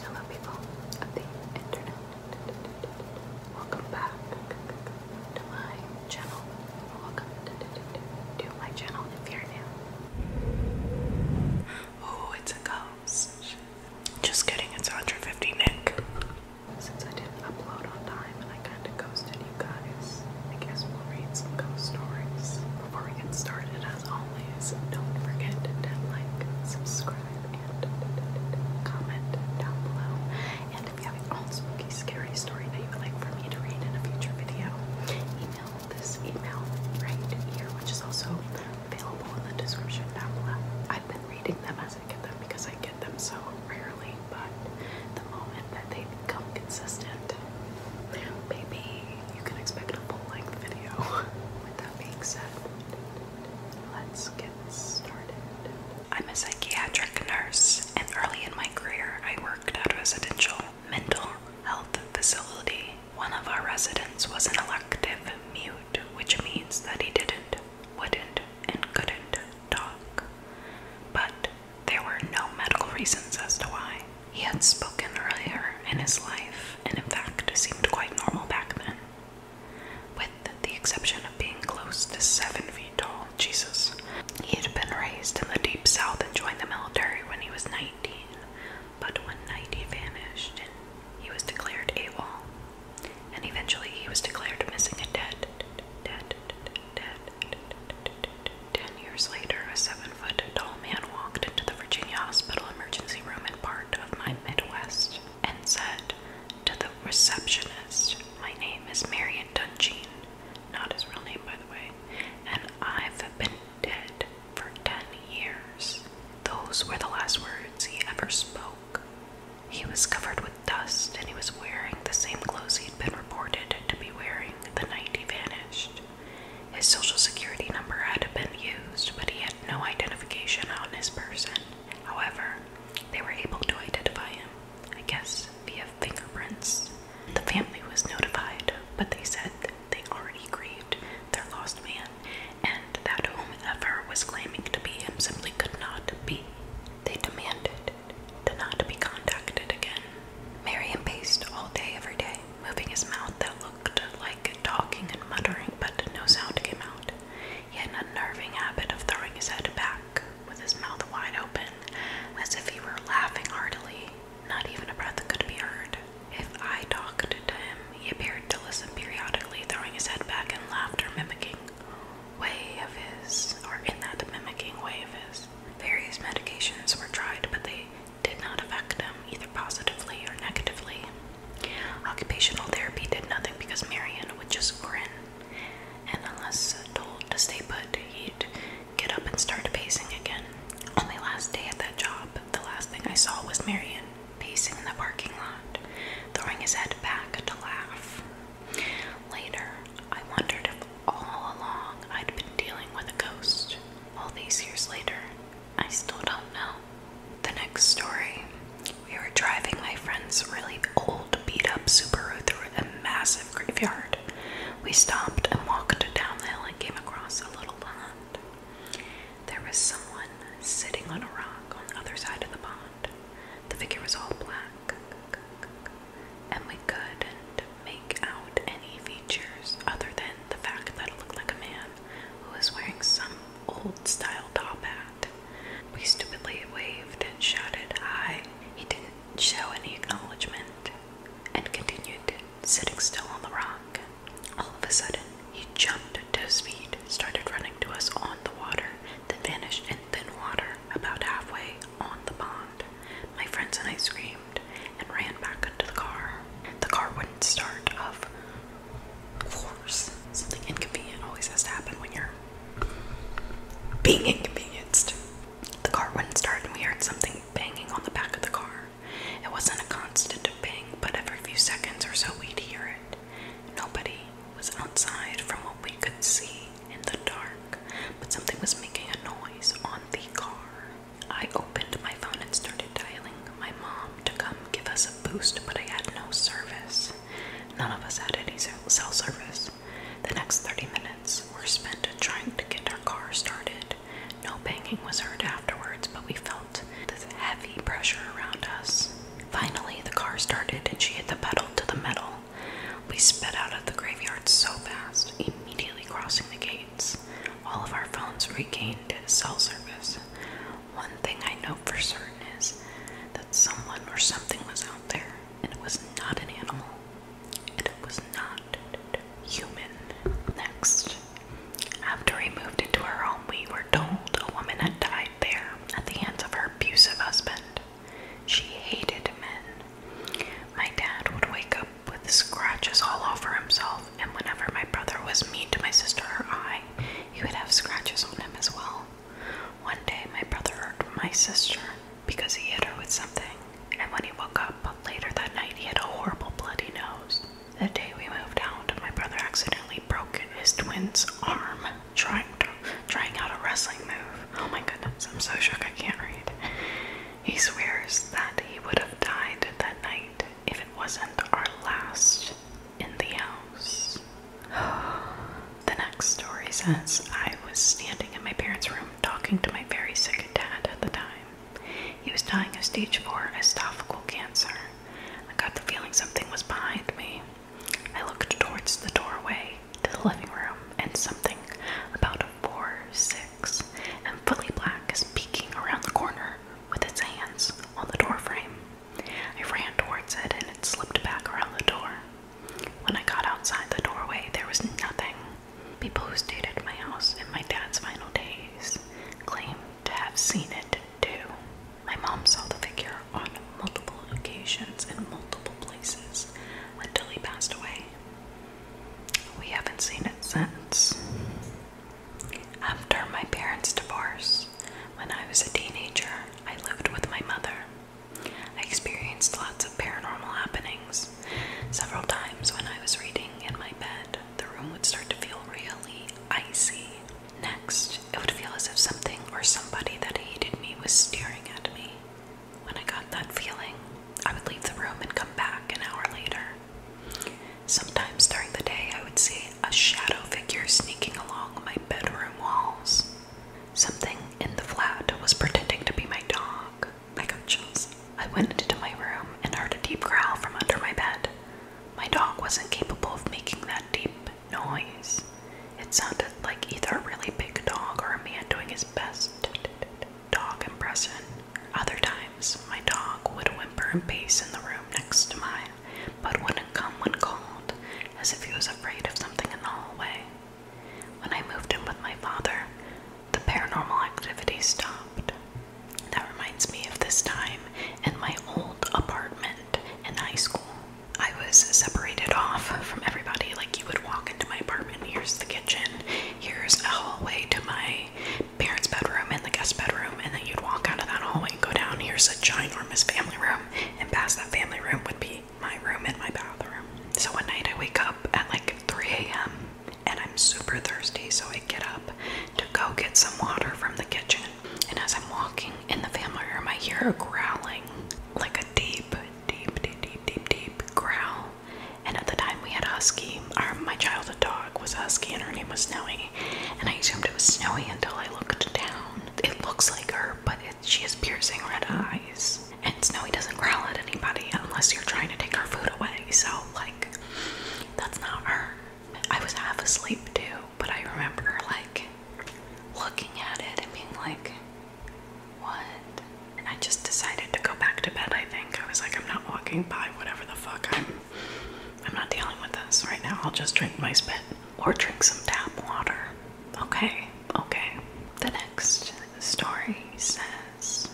Hello, people of the internet. Welcome back to my channel. Welcome to my channel if you're new. Oh, it's a ghost. Just kidding, it's 150 Nick. Since I didn't upload on time and I kind of ghosted you guys, I guess we'll read some ghost stories before we get started as don't forget to like, subscribe, and comment down below. And if you have your own spooky, scary story that you would like for me to read in a future video, email this email right here, which is also available in the description down below. I've been reading them as I get them because I get them so rarely, but the moment that they become consistent, maybe you can expect a full length video. With that being said, I'm a psychiatric nurse, and early in my career, I worked at a residential mental health facility. One of our residents was an elective mute, which means that he didn't, wouldn't, and couldn't talk. But there were no medical reasons as to why. He had spoken earlier in his life, and in fact, seemed quite normal back then. With the exception of being close to seven feet tall, Jesus. He had been raised in the deep south and joined the military when he was 19, but one night he vanished and he was declared AWOL. And eventually he was declared missing and dead. Dead, dead, Ten years later, a seven foot tall man walked into the Virginia Hospital emergency room in part of my Midwest and said to the receptionist, My name is Marion Dungeon, not his real name, by the way, and I've been dead for 10 years. Those were the last words he ever spoke. He was covered with dust and he was wearing the same clothes he'd been reported to be wearing the night he vanished. His social security number had been used, but he had no identification on his person. However, they were able to identify him, I guess via fingerprints. The family was notified, but they said they already grieved their lost man and that whomever was claiming to be him simply could not be. They demanded to not be contacted again. Marion paced all day every day, moving his mouth that looked like talking and muttering, but no sound came out. He had an unnerving habit of throwing his head back with his mouth wide open, as if he were laughing heartily. Not even a breath could be heard. If I talked to him, he appeared to listen periodically, throwing his head back in laughter, mimicking way of his, or in that mimicking way of his. Various medications were tried, but they did not affect him either positively or negatively. Occupational therapy did nothing because Marion would just grin, and unless told to stay put, he'd get up and start pacing again. On my last day at that job, the last thing I saw was Marion pacing in the parking lot, throwing his head back to laugh. Later, I wondered if all along I'd been dealing with a ghost. All these years later, I still don't know. The next story we were driving my friend's really old, beat up Subaru through a massive graveyard. We stopped and walked down the hill and came across a little pond. There was someone sitting on a rock on the other side of the pond. The figure was all black, and we couldn't make out any features other than the fact that it looked like a man who was wearing some old style top hat. We stupidly waved and shouted hi. He didn't show any acknowledgement and continued sitting still on the rock. All of a sudden, he jumped to his feet, started running to us on the water, then vanished in thin water about halfway on the pond. My friends and I screamed and ran back into the car. The car wouldn't start, of of course, something inconvenient always has to happen when you're being inconvenienced. The car wouldn't start, and we heard something banging on the back of the car. It wasn't a constant bang, but every few seconds or so we'd hear it. Nobody was outside from what we could see in the dark, but something was making a noise on the car. I opened my phone and started dialing my mom to come give us a boost, but I had no service. None of us had any cell service. The next 30 minutes were spent trying to get our car started. No banging was heard afterwards, but we felt this heavy pressure around us. Finally, the car started and she hit the pedal to the metal. We sped out of the graveyard so fast, immediately crossing the gates. All of our phones regained cell service. One thing I know for certain is that someone or something was out there, and it was not an animal, and it was not human. Next, after we moved into our home, we were told a woman had died there at the hands of her abusive husband. She hated men. My dad would wake up with scratches all over himself, and whenever my brother was mean to my sister or I, he would have scratches on him as well. One day, my brother hurt my sister because he hit her with something, and when he woke up later that night, he had a horrible bloody nose. The day we moved out, my brother accidentally broke his twin's arm trying trying out a wrestling move. Oh my goodness, I'm so shook I can't read. He swears that he would have died that night if it wasn't our last in the house. the next story says I was standing in my parents' room talking to my very sick dad at the time. He was dying of stage 4 esophageal cancer. I got the feeling something was behind me. I looked towards the doorway to the living room, and something about a four, six, and fully black is peeking around the corner with its hands on the doorframe. I ran towards it and it slipped back around the door. When I got outside the doorway, there was nothing. People who stayed at my house in my dad's final days claimed to have seen it too. My mom saw the figure on multiple occasions in multiple places until he passed away. We haven't seen it since. After my parents' divorce, when I was a teenager, I lived with my mother. I experienced lots of paranormal happenings. Several times when I was reading in my bed, the room would start to feel really icy. Next, it would feel as if something or somebody that hated me was staring at me. When I got that feeling, I would leave the room and come back an hour later. Sometimes during the day, I would see a shadow figure sneaking along my bedroom walls. Something in the flat was pretending to be my dog. I got chills. I went into my room and heard a deep growl from under my bed. My dog wasn't capable of making that deep noise. It sounded like either a really big dog or a man doing his best dog impression. Other times, my dog would whimper and pace in the room next to mine but wouldn't come when called, as if he was afraid of something in the hallway. When I moved in with my father, the paranormal activity stopped. That reminds me of this time in my old apartment in high school. I was separated off from everybody. Like, you would walk into my apartment, here's the kitchen, here's a hallway to my parents' bedroom and the guest bedroom, and then you'd walk out of that hallway and go down, here's a ginormous family room, and past that family room would be my room and my bathroom. So one night I wake up at like 3 a.m. and I'm super thirsty, so I get up to go get some water from the kitchen. And as I'm walking in the family room, I hear a growling, like a deep, deep, deep, deep, deep, deep growl. And at the time, we had a husky. Our, my childhood dog was a husky, and her name was Snowy. And I assumed it was Snowy until I looked down. It looks like her, but she has piercing red eyes. And Snowy doesn't growl at anybody unless you're trying to take her food away. So, like, that's not her. I was half asleep too, but I remember, like, looking at it and being like, what? And I just decided to go back to bed, I think. I was like, I'm not walking by whatever the fuck. I'm I'm not dealing with this right now. I'll just drink my spit or drink some tap water. Okay, okay. The next story says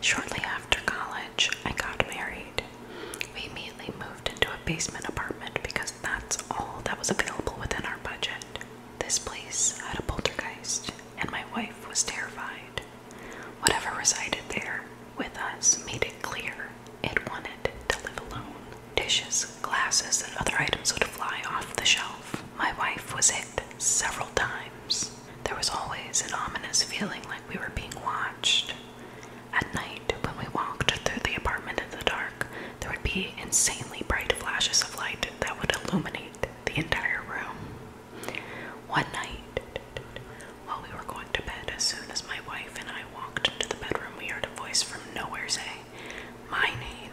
Shortly after college, I got married. We immediately moved into a basement apartment because that's all that was available within our budget. This place had a poltergeist, and my wife was terrified. Whatever resided there with us made it clear it wanted to live alone. Dishes, glasses, and other items would fly off the shelf. My wife was hit several times. There was always an ominous feeling like we were being watched. At night, when we walked through the apartment in the dark, there would be insanely bright flashes of light that would illuminate the entire room. One night, while we were going to bed, as soon as my wife and I walked into the bedroom, we heard a voice from nowhere say, My name.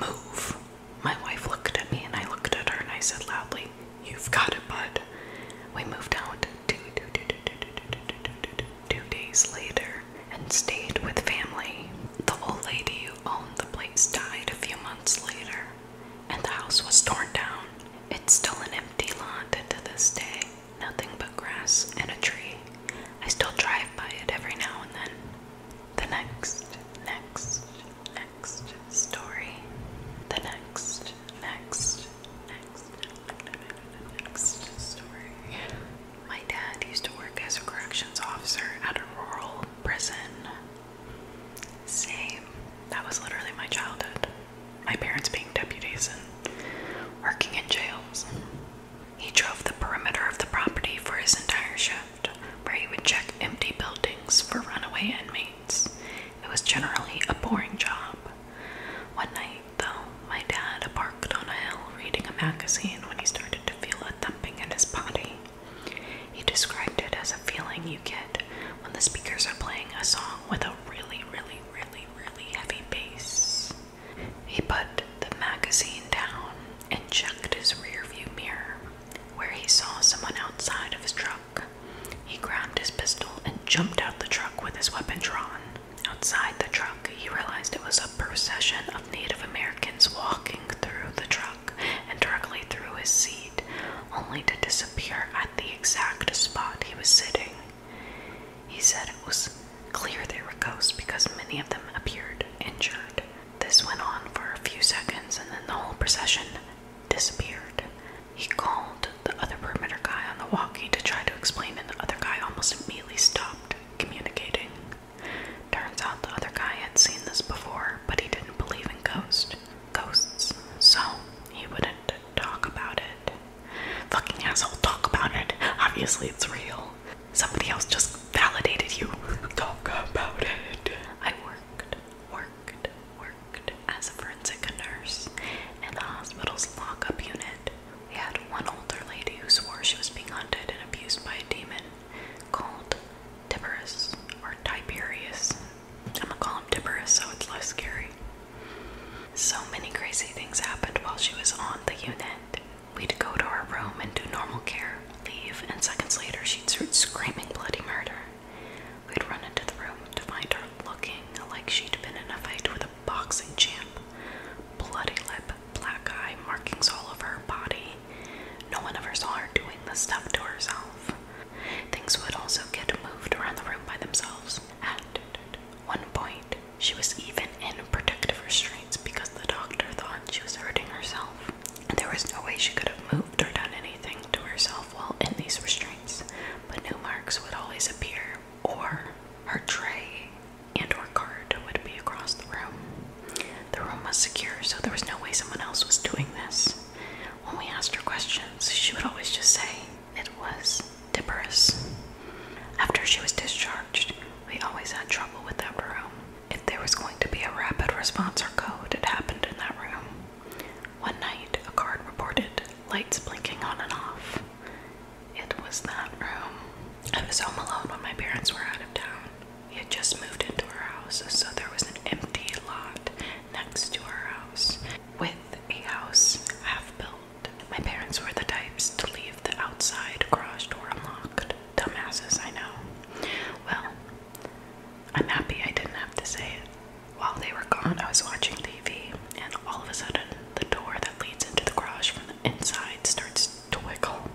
Move. My wife looked at me and I looked at her and I said loudly, You've got it, bud. We moved out Two days later and stayed with family. The old lady who owned the place died a few months later, and the house was torn down. It's still an empty lot and to this day, nothing but grass and a tree. I still drive by it every now and then. The next, next, next story. The next, next, next, next story. My dad used to work as a corrections officer at a rural prison. Same. That was literally my childhood. My parents being deputies and working in jails. He drove the perimeter of the property for his entire shift, where he would check empty buildings for runaway inmates. It was generally a boring job. One night, though, my dad parked on a hill reading a magazine when he started to feel a thumping in his body. He described it as a feeling you get when the speakers are playing a song with a really, really, really, really heavy bass. He put the magazine down and checked his rearview mirror, where he saw someone outside of his truck. He grabbed his pistol and jumped out the truck with his weapon drawn. Outside the truck, he realized it was a procession of Native Americans walking through the truck and directly through his seat, only to disappear at the exact spot he was sitting. He said it was clear they were ghosts because many of them appeared injured. This went on for a few seconds and then the whole procession disappeared. He called the other perimeter guy on the walkie to try to explain, and the other guy almost immediately stopped communicating. Turns out the other guy had seen this before, but he didn't believe in ghosts. Ghosts. So he wouldn't talk about it. Fucking asshole, talk about it. Obviously, it's real. Somebody else just validated you. Talk about it. I worked, worked, worked as a forensic nurse in the hospital's lockup unit. We had one older lady who swore she was being hunted and abused by a demon called Tiberius or Tiberius. I'm gonna call him Tiberius so it's less scary. So many crazy things happened while she was on the unit. We'd go to her room and do normal care, leave, and seconds later she'd start screaming bloody murder. We'd run into the room to find her looking like she'd been in a fight with a boxing champ. Bloody lip, black eye, markings all over her body. No one ever saw her doing this stuff to herself. Things would also get moved around the room by themselves. At one point, she was even taken in protective restraints because the doctor thought she was hurting herself. There was no way she could have moved or done anything to herself while in these restraints, but new marks would always appear, or her tray and or card would be across the room. The room was secure, so there was no way someone else was doing this. When we asked her questions, she would always just say it was Dipperus. After she was discharged, we always had trouble with that room. If there was going to be a rapid response or code, it happened in that room. One night, a card reported lights blinking on and off. It was that room. I was home alone when my parents were out of town. We had just moved into our house, so there was an empty lot next to our house with a house half built. My parents were the types to leave the outside garage door unlocked dumbasses, I know. Well, i I didn't have to say it. While they were gone, I was watching TV, and all of a sudden, the door that leads into the garage from the inside starts to wiggle.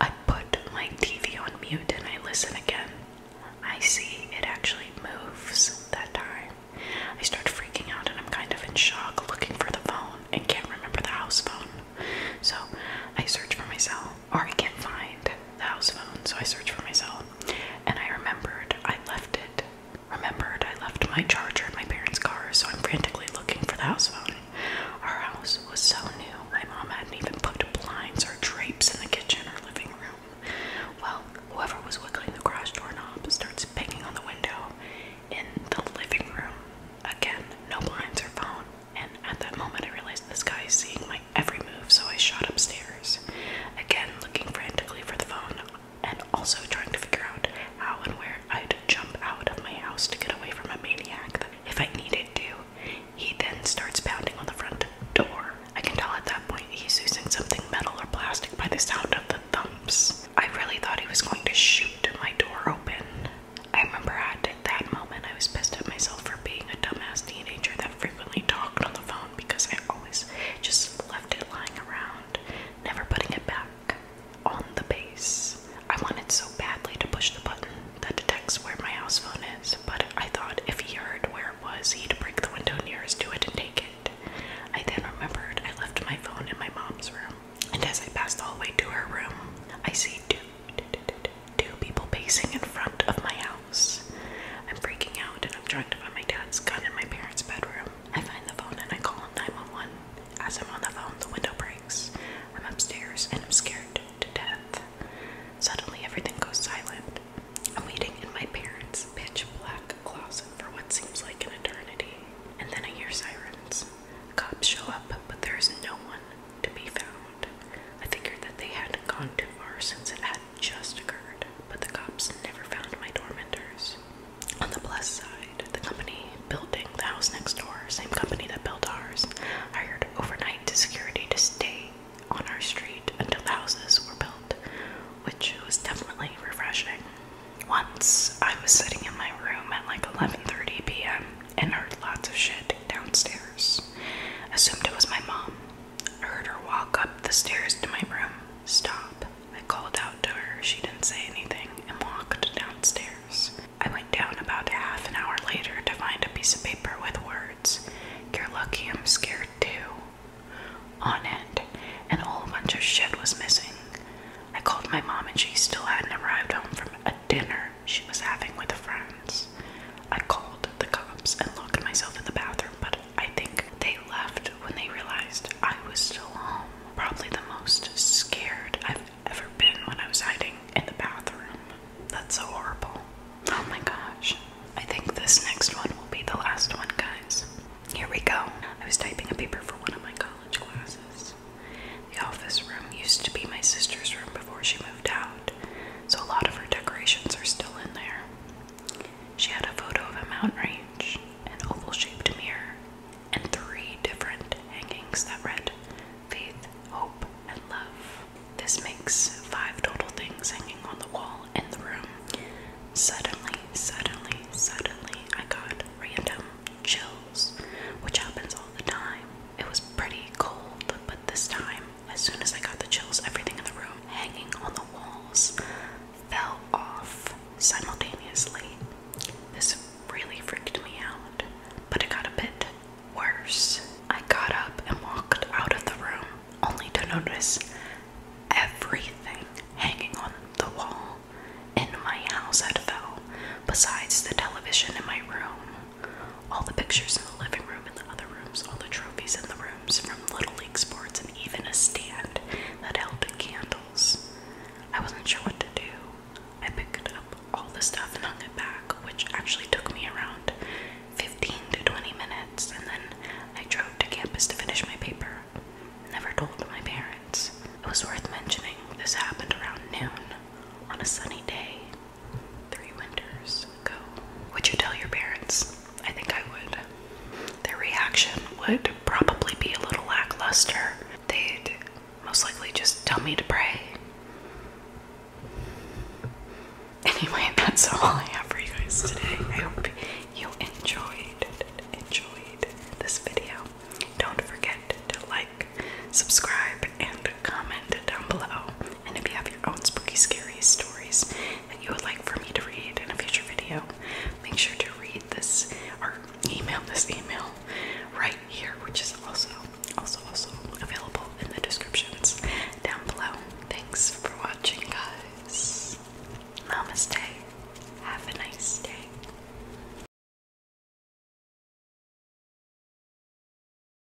I put my TV on mute and I listen again. I see it actually moves that time. I start freaking out and I'm kind of in shock looking for the phone and can't remember the house phone. So I search for my cell, or I can't find the house phone, so I search for my cell. And I remembered I left it. Remembered I left my charger in my parents' car, so I'm frantically looking for the house phone. Our house was so new, my mom hadn't even put blinds or drapes in the kitchen or living room. Well, whoever was wiggling the garage doorknob starts banging on the window in the living room. Again, no blinds or phone and at that moment I realized this guy is seeing my every move, so I shot upstairs. Again, looking frantically for the phone and also trying to figure out how and where I'd jump out of my house to get away from a maniac if I needed to. He then starts pounding on the front door. I can tell at that point he's using something metal or plastic by the sound of the thumps. I really thought he was going to shoot my door open. I remember at that moment I was pissed at myself for being a dumbass teenager that frequently talked on the phone because I always just left it lying around, never putting it back on the base. I wanted so badly to push the button that detects where my house phone is, but I thought if he heard where it was, he'd break the window nearest to it and take it. I then remembered I left my phone in my mom's room, and as I passed all the way to her room, I see two two people pacing in front of my house. I'm freaking out and I'm trying to find my dad's gun in my parents' bedroom. I find the phone and I call 911. As I'm on the phone, the window breaks. I'm upstairs and I'm scared to death. Suddenly, everything goes silent. I'm waiting in my parents' pitch black closet for what seems like an eternity. And then I hear sirens. Cops show up, but there is no one to be found. I figured that they hadn't gone too far since it had just occurred, but the cops never found my tormentors. On the plus side, the company building the house next door, same company that built ours, hired overnight security to stay on our street until the houses were built, which was definitely refreshing. Once I was sitting in my room at like 11:30 p.m and heard lots of shit downstairs. Assumed it was my mom. I heard her walk up the stairs to my room. Stop. I called out to her. She didn't say anything and walked downstairs. I went down about half an hour later to find a piece of paper with words. You're lucky I'm scared too. On it, and a whole bunch of shit was missing. I called my mom and she still hadn't arrived home from a dinner she was having with friends. I called the cops and locked myself in the bathroom, but I think they left when they realized I was still home. Probably the most scared I've ever been when I was hiding in the bathroom. That's so horrible. Oh my gosh. I think this next one will be the last one, guys. Here we go. I was typing a paper for one of my college classes. The office room used to be my sister's room before she moved out so a lot of her decorations are still in there. She had a photo of a mountain range, an oval shaped mirror, and three different hangings that read faith, hope, and love. This makes five total things hanging on the wall in the room. Suddenly, suddenly, suddenly, I got random chills, which happens all the time. It was pretty cold, but this time as soon as I got the chills, everything in the room hanging on the walls fell off simultaneously. This really freaked me out, but it got a bit worse. I got up and walked out of the room only to notice everything hanging on the wall in my house had fell, besides the television in my room. All the pictures in the living room and the other rooms, all the trophies in the rooms from Little League sports, and even a stand that held candles. I wasn't sure what to do. I picked up all the stuff and hung it back, which actually took me around 15 to 20 minutes, and then I drove to campus to finish my paper. Never told my parents. It was worth mentioning, this happened around noon on a sunny day three winters ago. Would you tell your parents? I think I would. Their reaction would probably be a little lackluster. They'd most likely just tell me to pray. Anyway, that's all I have for you guys today. I hope you enjoyed enjoyed this video. Don't forget to like, subscribe, and comment down below. And if you have your own spooky, scary stories that you would like for me to read in a future video, make sure to read this or email this email right here, which is also, also, also available in the descriptions down below. Thanks for watching, guys. Namaste. Have a nice day.